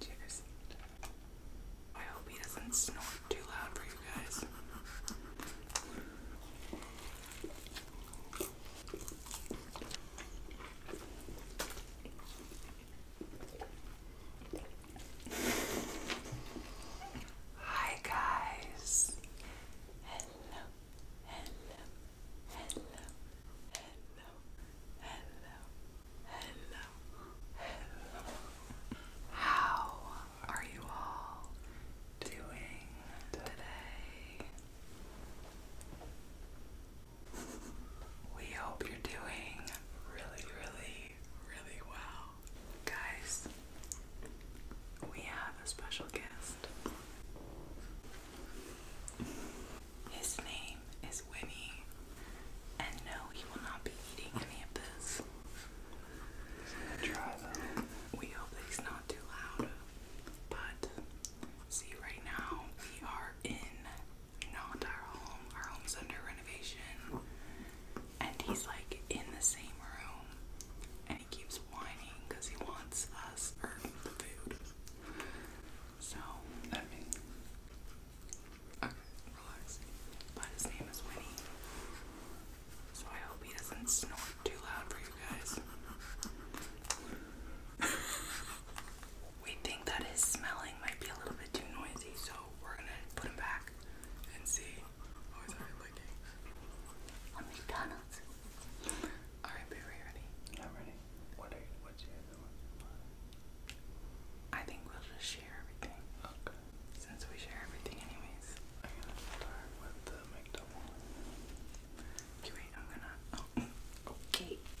Cheers. I hope he doesn't snort too loud for you guys. Hi guys. Hello. Hello. Hello. Hello. Hello. Hello. Hello. How are you all doing today? We hope you're doing really, really, really well. Guys, we have a special guest. His name is Winnie, and no, he will not be eating any of this. Try though. We hope he's not too loud, but see, right now we are in not our home. Our home's under renovation. And he's like in the same room and he keeps whining because he wants us or the food. So, I mean, okay, relax. But his name is Winnie. So I hope he doesn't snort too loud for you guys. we think that his smelling might be a little bit too noisy, so we're gonna put him back and see. Oh, he's already licking. I'm McDonald's. Alright, babe, ready? I'm ready. What are you, what's your other I think we'll just share everything. Okay. Since we share everything anyways. I'm gonna start with the McDouble. okay.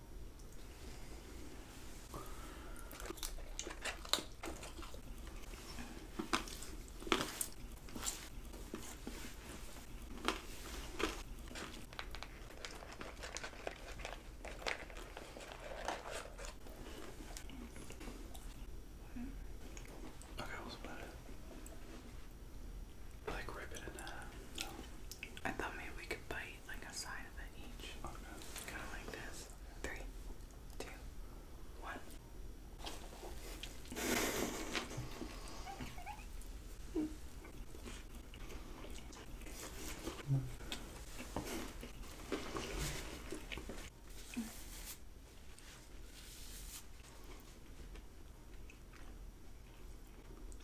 Okay, what's about it? Like rip it in half. I thought maybe we could bite like a side of it each. Kind of like this. Three, two, one.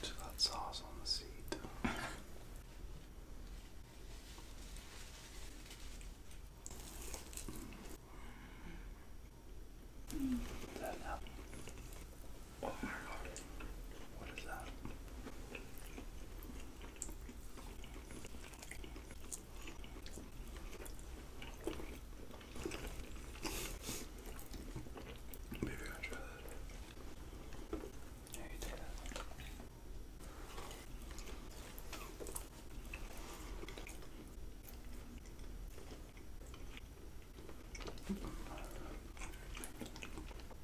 Just that sauce on the seat. Mm. That Oh my god. What is that? Maybe I'll try that. Yeah, you take that.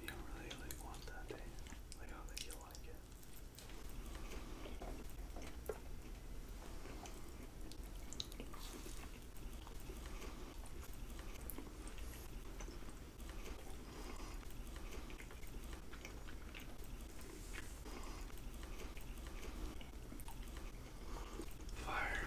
You don't really like want that, eh? I don't think you'll like it. Fire.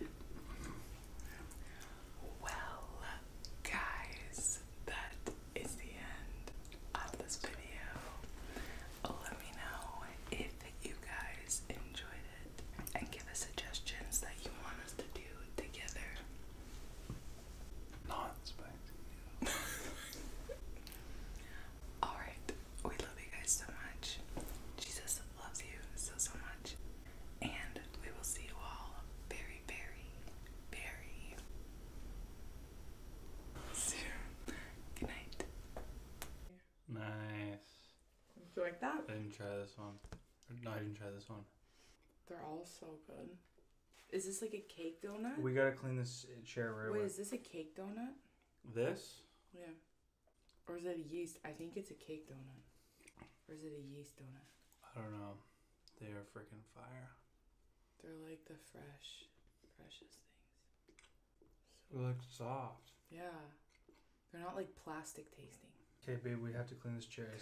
You Well, guys, that is the end of this video. Let me know if you guys enjoyed it and give us suggestions that you want us to do together. Alright, we love you guys so much. Jesus loves you so, so much. And we will see you all very, very, very soon. Good night. Nice. you like that? I didn't try this one. No, I didn't try this one. They're all so good. Is this like a cake donut? We gotta clean this chair right away. Wait, is this a cake donut? This? Yeah. Or is it a yeast? I think it's a cake donut. Or is it a yeast donut? I don't know. They are freaking fire. They're like the fresh, precious things. they look soft. Yeah. They're not like plastic tasting. Okay, babe, we have to clean this chair.